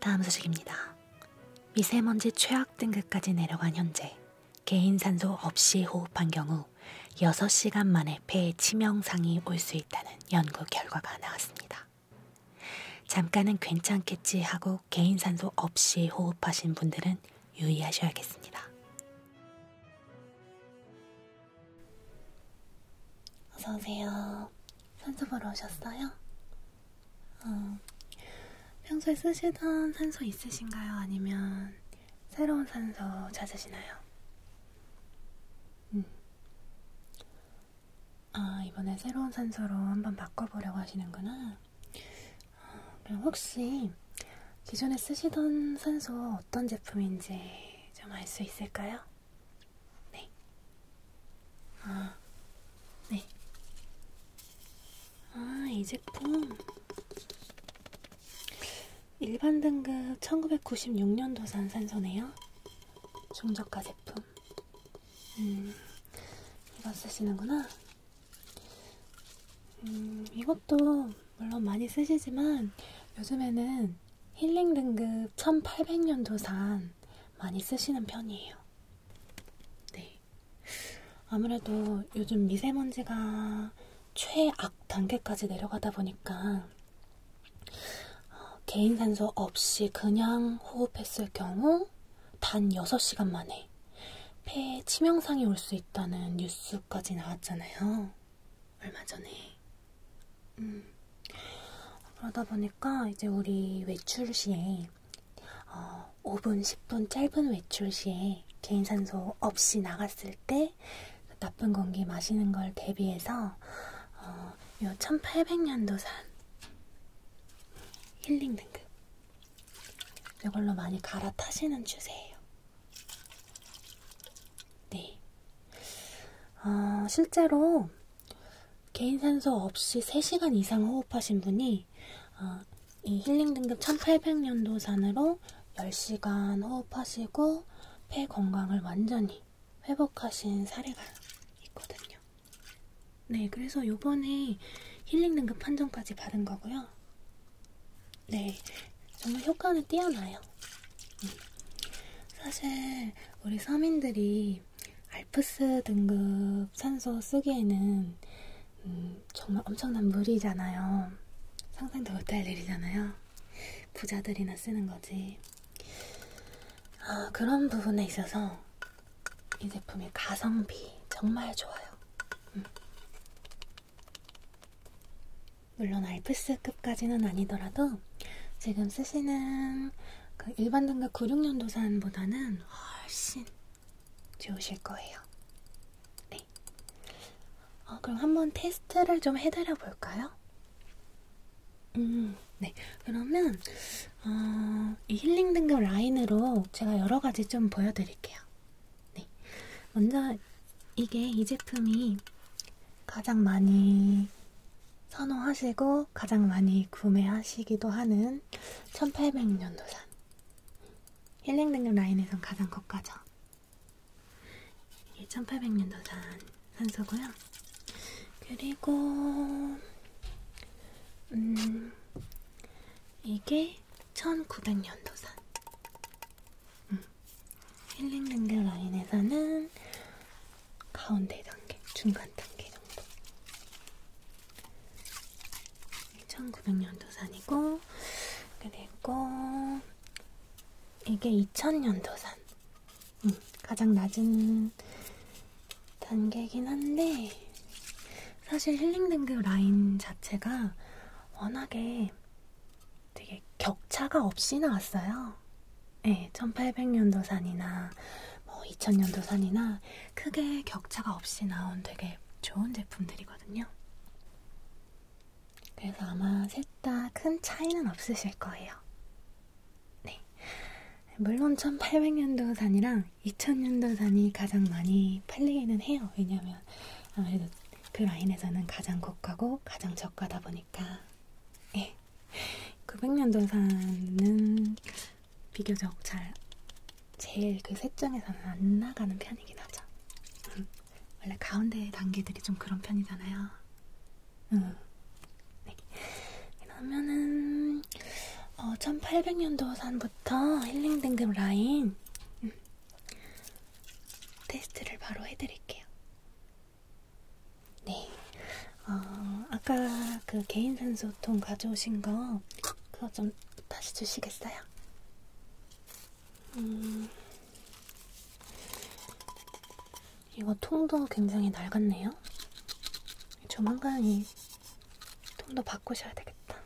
다음 소식입니다. 미세먼지 최악 등급까지 내려간 현재 개인 산소 없이 호흡한 경우 6시간 만에 폐에 치명상이 올 수 있다는 연구 결과가 나왔습니다. 잠깐은 괜찮겠지 하고 개인 산소 없이 호흡하신 분들은 유의하셔야겠습니다. 어서오세요. 산소 보러 오셨어요? 어, 평소에 쓰시던 산소 있으신가요? 아니면 새로운 산소 찾으시나요? 음. 아, 이번에 새로운 산소로 한번 바꿔보려고 하시는구나. 어, 그럼 혹시 기존에 쓰시던 산소 어떤 제품인지 좀 알 수 있을까요? 네. 아, 네. 아, 이 제품. 일반 등급 1996년도 산산소네요. 중저가 제품. 음, 이거 쓰시는구나. 음, 이것도 물론 많이 쓰시지만 요즘에는 힐링 등급 1800년도 산 많이 쓰시는 편이에요. 네. 아무래도 요즘 미세먼지가 최악 단계까지 내려가다 보니까 어, 개인 산소 없이 그냥 호흡했을 경우 단 6시간 만에 폐에 치명상이 올 수 있다는 뉴스까지 나왔잖아요. 얼마 전에. 음. 그러다 보니까 이제 우리 외출 시에 어, 5분, 10분 짧은 외출 시에 개인산소 없이 나갔을 때 나쁜 공기 마시는 걸 대비해서 어, 요 1800년도 산 힐링 등급 이걸로 많이 갈아타시는 추세예요. 네. 어, 실제로 개인 산소 없이 3시간 이상 호흡하신 분이 어, 이 힐링 등급 1800년도 산으로 10시간 호흡하시고 폐 건강을 완전히 회복하신 사례가 있거든요. 네, 그래서 요번에 힐링 등급 판정까지 받은 거고요. 네, 정말 효과는 뛰어나요. 음. 사실 우리 서민들이 알프스 등급 산소 쓰기에는 음, 정말 엄청난 물이잖아요. 상상도 못할 일이잖아요. 부자들이나 쓰는 거지. 아, 그런 부분에 있어서 이 제품의 가성비 정말 좋아요. 음. 물론 알프스급까지는 아니더라도 지금 쓰시는 그 일반 등급 96년도산보다는 훨씬 좋으실 거예요. 네. 어, 그럼 한번 테스트를 좀 해드려 볼까요? 음, 네. 그러면 어, 이 힐링 등급 라인으로 제가 여러 가지 좀 보여드릴게요. 네. 먼저 이게 이 제품이 가장 많이 선호하시고 중에서 가장 많이 구매하시기도 하는 1800년도산 힐링 등급 라인에선 가장 고가죠. 이게 1800년도산 산소고요. 그리고 음 이게 1900년도산 음. 힐링 등급 라인에서는 가운데 단계, 중간 단계 정도. 1900년도산이고, 그리고 이게 2000년도산. 음, 가장 낮은 단계긴 한데, 사실 힐링 등급 라인 자체가 워낙에 되게 격차가 없이 나왔어요. 네, 예, 1800년도산이나 뭐 2000년도산이나 크게 격차가 없이 나온 되게 좋은 제품들이거든요. 그래서 아마 셋 다 큰 차이는 없으실 거예요. 네. 물론 1800년도산이랑 2000년도산이 가장 많이 팔리기는 해요. 왜냐면 아무래도 그 라인에서는 가장 고가고 가장 저가다 보니까. 예. 900년도사는 그 비교적 잘 제일 그 셋중에서는 안 나가는 편이긴 하죠. 응. 음. 원래 가운데 단계들이 좀 그런 편이잖아요. 응. 음. 네. 그러면은 어, 1800년도산부터 힐링 등급 라인 음. 테스트를 바로 해드릴게요. 네. 어, 아까 그 개인 산소통 가져오신 거 그거 좀 다시 주시겠어요? 음. 이거 통도 굉장히 낡았네요. 조만간 이 통도 바꾸셔야 되겠다.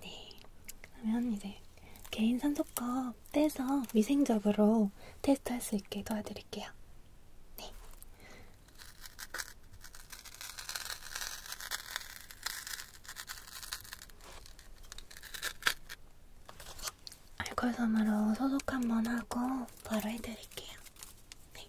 네. 그러면 이제 개인 산소거 직접 떼서 위생적으로 테스트할 수 있게 도와드릴게요. 네. 알콜 섬으로 소독 한번 하고 바로 해드릴게요. 네.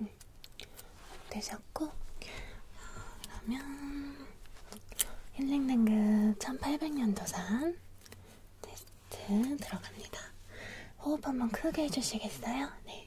응. 음. 되셨고 그러면 힐링등급 1800년도산 테스트 들어갑니다. 호흡 한번 크게 해주시겠어요? 네.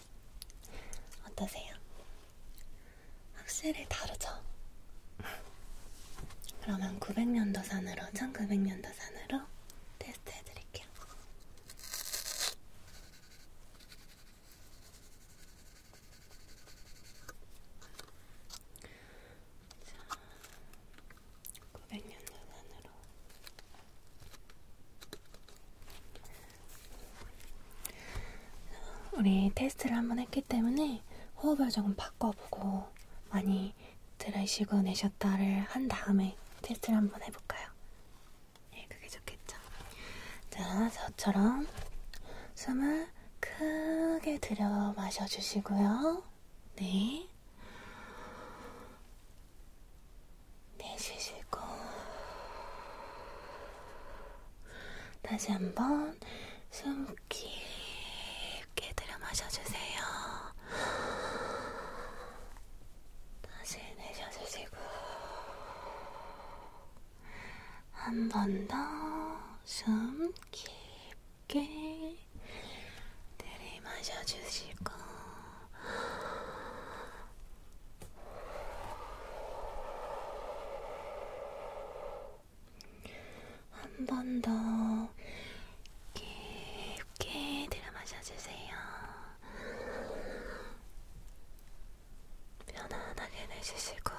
어떠세요? 확실히 다르죠? 그러면 900년도산으로 1900년도산으로 테스트 해드릴게요. 자, 900년도산으로 우리 테스트를 한번 했기 때문에 호흡을 조금 바꿔보고 많이 들으시고 내셨다를 한 다음에 테스트를 한번 해볼까요? 예, 그게 좋겠죠. 자, 저처럼 숨을 크게 들여 마셔주시고요. 네. 내쉬시고 다시 한번 숨 깊게 들여 마셔주세요. 다시 내쉬어주시고 한 번 더 숨 깊게 들이마셔주시고 한번더 깊게 들이마셔 주세요. 편안하게 내쉬시고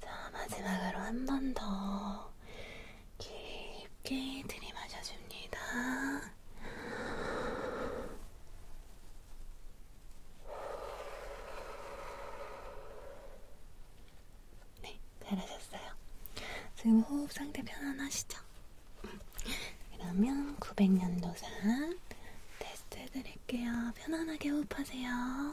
자, 마지막으로 한번더 깊게 들이마셔줍니다. 네, 잘하셨어요. 지금 호흡 상태 편안하시죠? 그러면 900년도산 테스트 해드릴게요. 편안하게 호흡하세요.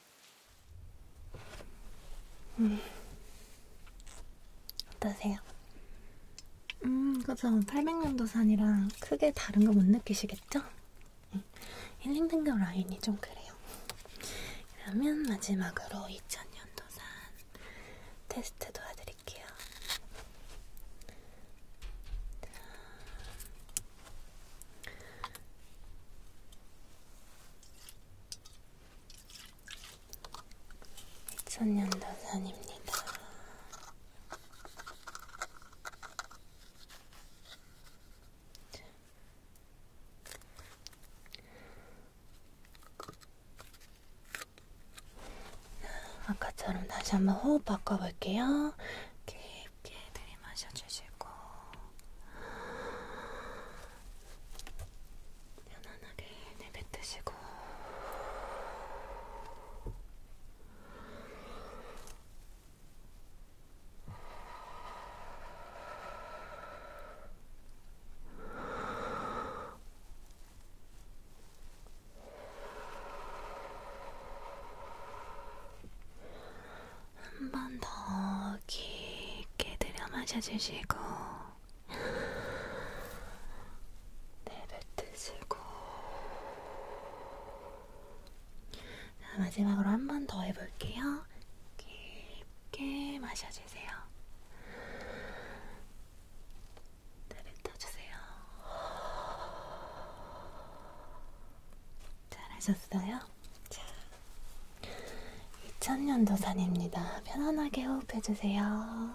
음. 어떠세요? 음, 그죠. 800년도 산이랑 크게 다른 거 못 느끼시겠죠? 응. 예. 힐링등급 라인이 좀 그래요. 그러면 마지막으로 2000년도 산 테스트 도와드릴게요. 2000년도산입니다. 아까처럼 다시 한번 호흡 바꿔볼게요. 깊게 들이마셔 주시고 편안하게 내뱉으시고 한번더 깊게 들여 마셔주시고 내뱉으시고 자, 마지막으로 한 번 더 해볼게요. 깊게 마셔주세요. 내뱉어주세요. 잘하셨어요? 자, 2000년도 산입니다. 편안하게 호흡해주세요.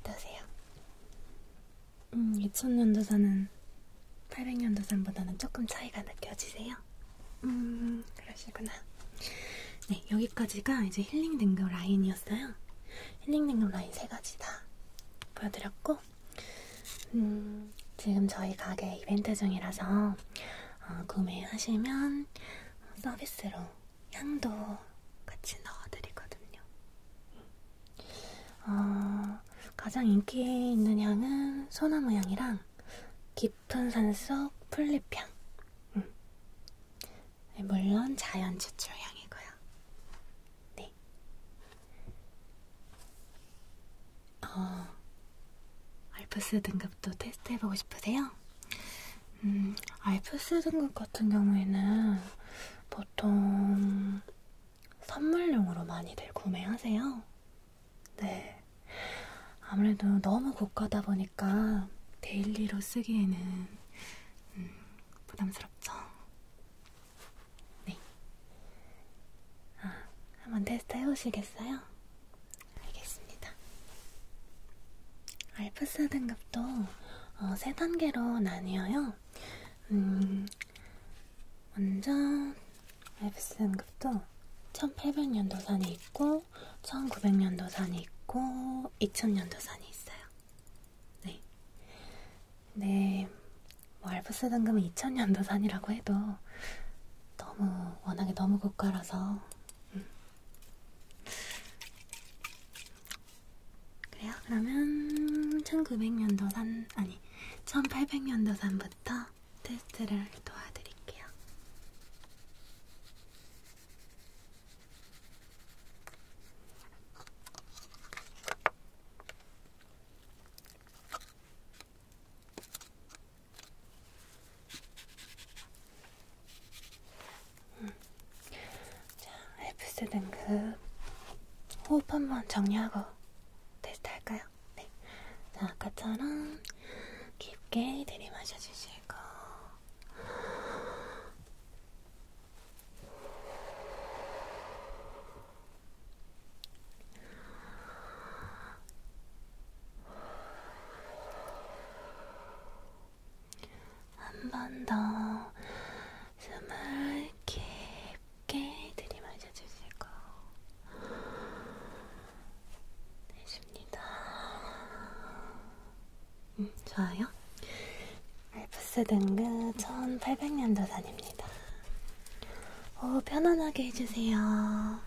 어떠세요? 음, 2000년도사는 800년도산보다는 조금 차이가 느껴지세요? 음, 그러시구나. 네, 여기까지가 이제 힐링 댕교 그 라인이었어요. 힐링냉감 라인 세 가지 다 보여드렸고 음, 지금 저희 가게 이벤트 중이라서 어, 구매하시면 서비스로 향도 같이 넣어드리거든요. 어, 가장 인기 있는 향은 소나무 향이랑 깊은 산 속 풀잎향. 음. 네, 물론 자연 추출향이고요. 네. 어, 알프스 등급도 테스트해보고 싶으세요? 음, 알프스 등급 같은 경우에는 보통 선물용으로 많이들 구매하세요. 네. 아무래도 너무 고가다 보니까 데일리로 쓰기에는 음, 부담스럽죠? 네. 아, 한번 테스트 해보시겠어요? 알겠습니다. 알프스 등급도 어, 세 단계로 나뉘어요. 음, 먼저 알프스 등급도 1800년도 산이 있고 1900년도 산이 있고 2000년도 산이 있어요. 네. 근데 뭐 알프스 등급은 2000년도 산이라고 해도 너무 워낙에 너무 고가라서 음. 그래요? 그러면 1900년도 산 아니 1800년도 산부터 테스트를 도와드릴게요. 음. 자, 엘프스 등급 호흡 한번 정리하고 테스트 할까요? 네. 자, 아까처럼 깊게 들이마셔 주시고 한번더 숨을 깊게 들이마셔 주시고 내쉽니다. 음, 좋아요. 알프스 등급 1800년도산입니다. 오, 어, 편안하게 해주세요.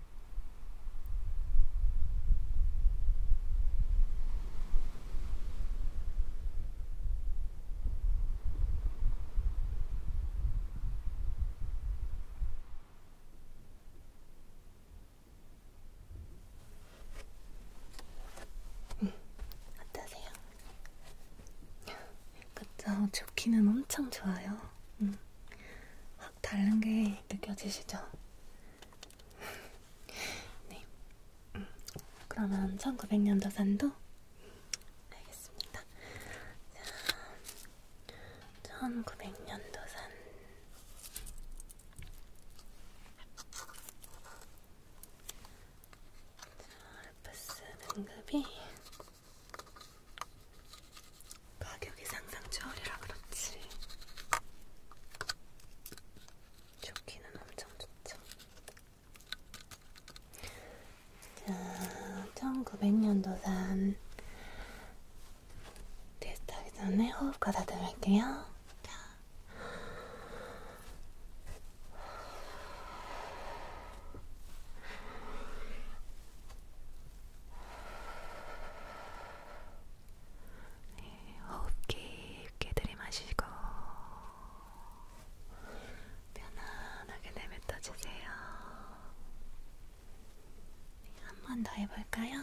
음, 어떠세요? 그쵸, 좋기는 엄청 좋아요. 음. 확 다른 게 느껴지시죠? 네. 음, 그러면 1900년도 산도? 알겠습니다. 자, 1900년도 산. 자, 알프스 등급이 가격 여기 상상초월이라 그렇지 좋기는 엄청 좋죠. 자, 1900년도산 테스트하기 전에 호흡 가다듬을게요. 자. 네, 호흡 깊게 들이마시고 편안하게 내뱉어 주세요. 네, 한번 더 해볼까요?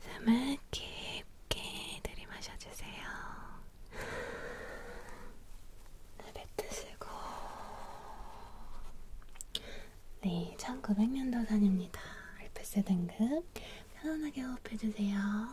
숨을 깊게 들이마셔 주세요. 내뱉으시고 네, 1900년도 산입니다. 알프스 등급 편안하게 호흡해주세요.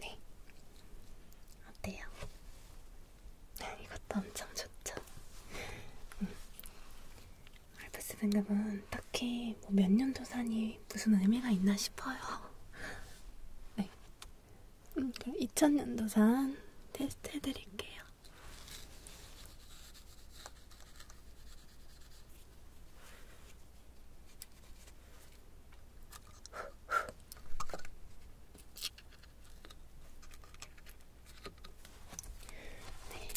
네, 어때요? 아, 이것도 엄청 좋죠? 음. 알프스 등급은 딱히 뭐 몇 년도 산이 무슨 의미가 있나 싶어요. 네, 음, 그럼 2000년도산 테스트 해드릴게요. 네,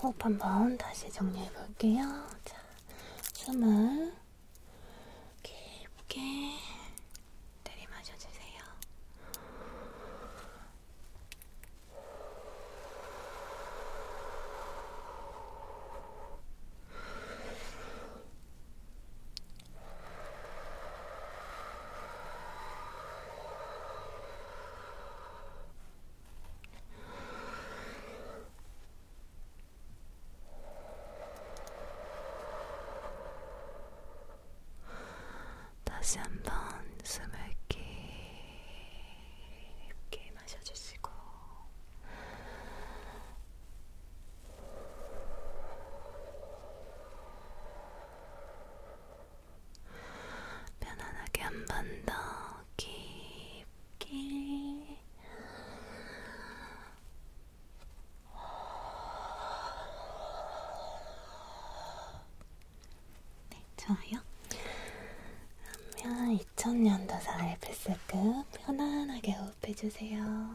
호흡 한번 다시 정리해 볼게요. 자, 숨을 깊게 들이마셔 주세요. 다시 한번 숨을 깊게 마셔주시고 편안하게 한 번 더 깊게 네, 좋아요. 그러면 2000년도사 알프스급 편안하게 호흡해주세요.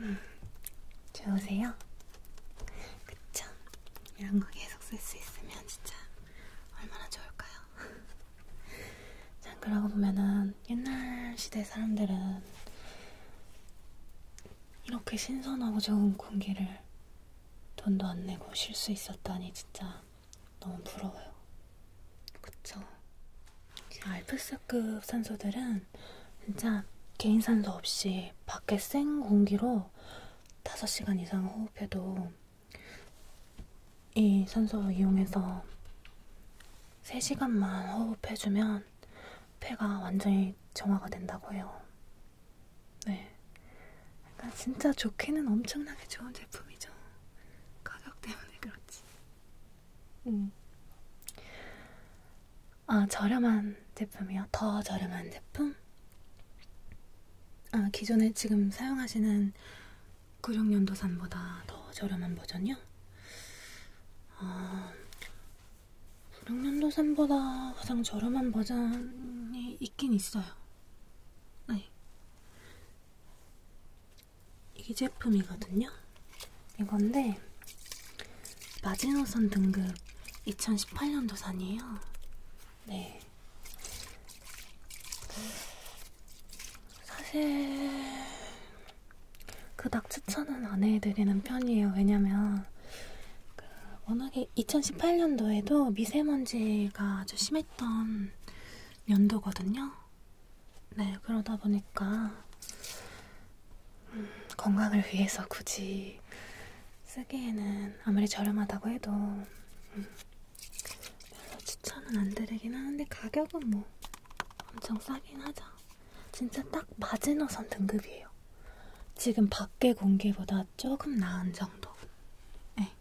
음, 좋으세요? 그쵸? 이런 거 계속 쓸 수 있으면 진짜 얼마나 좋을까요? 참 그러고 보면은 옛날 시대 사람들은 이렇게 신선하고 좋은 공기를 돈도 안 내고 쉴 수 있었다니 진짜 너무 부러워요. 그쵸? 알프스급 산소들은 진짜 개인 산소 없이 밖에 생 공기로 5시간 이상 호흡해도 이 산소 이용해서 3시간만 호흡해주면 폐가 완전히 정화가 된다고 해요. 네. 그러니까 진짜 좋기는 엄청나게 좋은 제품이죠. 가격 때문에 그렇지. 음. 아, 저렴한 제품이요? 더 저렴한 제품? 아, 기존에 지금 사용하시는 96년도산보다 더 저렴한 버전이요? 아, 어, 96년도산보다 가장 저렴한 버전이 있긴 있어요. 네. 이 제품이거든요. 이건데 마지노선 등급 2018년도산이에요. 네. 사실 그닥 추천은 안 해드리는 편이에요. 왜냐면 그 워낙에 2018년도에도 미세먼지가 아주 심했던 연도거든요. 네, 그러다 보니까 음, 건강을 위해서 굳이 쓰기에는 아무리 저렴하다고 해도 음, 별로 추천은 안 드리긴 하는데 가격은 뭐 엄청 싸긴 하죠. 진짜 딱 마지노선 등급이에요. 지금 밖에 공기보다 조금 나은 정도. 네.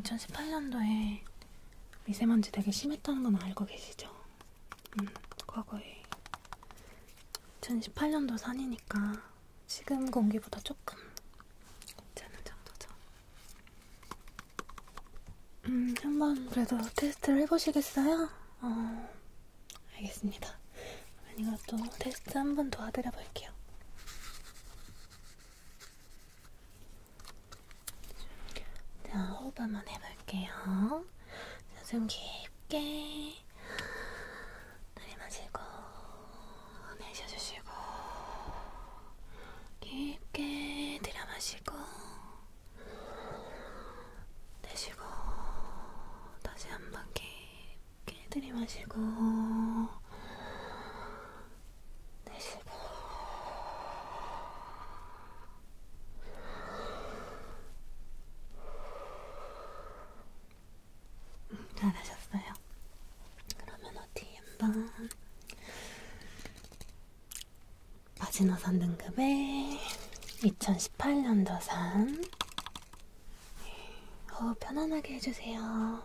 2018년도에 음, 미세먼지 되게 심했다는 건 알고 계시죠? 음, 과거에 2018년도 산이니까 지금 공기보다 조금 괜찮은 정도죠. 음, 한번 그래도 테스트를 해보시겠어요? 어, 알겠습니다. 이것도 그러니까 테스트 한번 도와드려 볼게요. 자, 호흡 한번 해볼게요. 자, 숨 깊게 들이마시고 네, 내쉬어주시고 깊게 들여마시고 내쉬고 다시 한번 깊게 들이마시고 내쉬고 잘하셨어요. 그러면 어디 한번 마지노선 등급에 2018년도산 호흡 어, 편안하게 해주세요.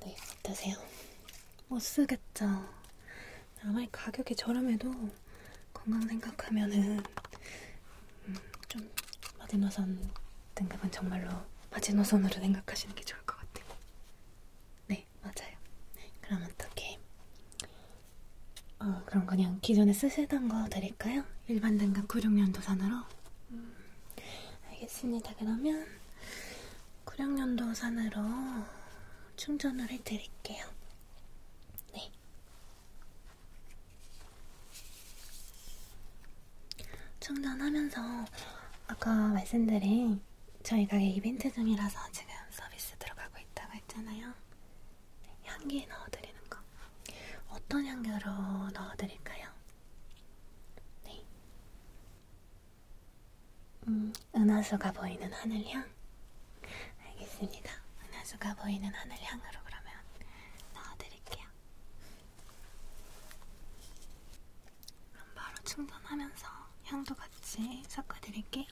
네, 어떠세요? 못쓰겠죠. 아무리 가격이 저렴해도 건강 생각하면은 음, 좀 마지노선 등급은 정말로 마지노선으로 생각하시는 게 좋을 것 같아요. 네, 맞아요. 그럼 어떻게? 어, 그럼 그냥 기존에 쓰시던 거 드릴까요? 일반 등급 96년도산으로? 음, 알겠습니다. 그러면 96년도산으로 충전을 해드릴게요. 네. 충전하면서 아까 말씀드린 저희 가게 이벤트 중이라서 지금 서비스 들어가고 있다고 했잖아요. 네, 향기 넣어드리는 거. 어떤 향기로 넣어드릴까요? 네. 음, 은하수가 보이는 하늘향? 알겠습니다. 은하수가 보이는 하늘향으로 그러면 넣어드릴게요. 그럼 바로 충전하면서 향도 같이 섞어드릴게요.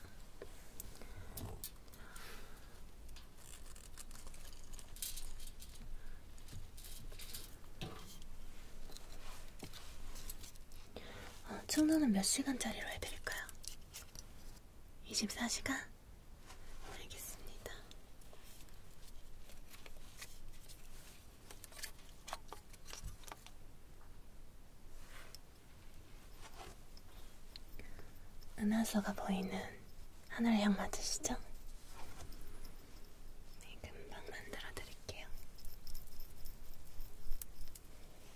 어, 충전은 몇 시간짜리로 해드릴까요? 24시간? 알겠습니다. 은하수가 보이는 하늘향 맞으시죠? 네, 금방 만들어 드릴게요.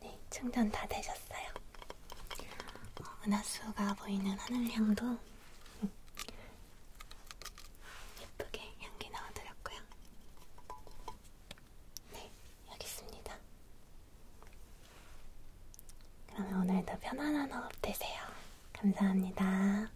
네, 충전 다 되셨어요. 어, 은하수가 보이는 하늘향도 예쁘게 향기 넣어드렸고요. 네, 여기 있습니다. 그러면 오늘도 편안한 호흡 되세요. 감사합니다.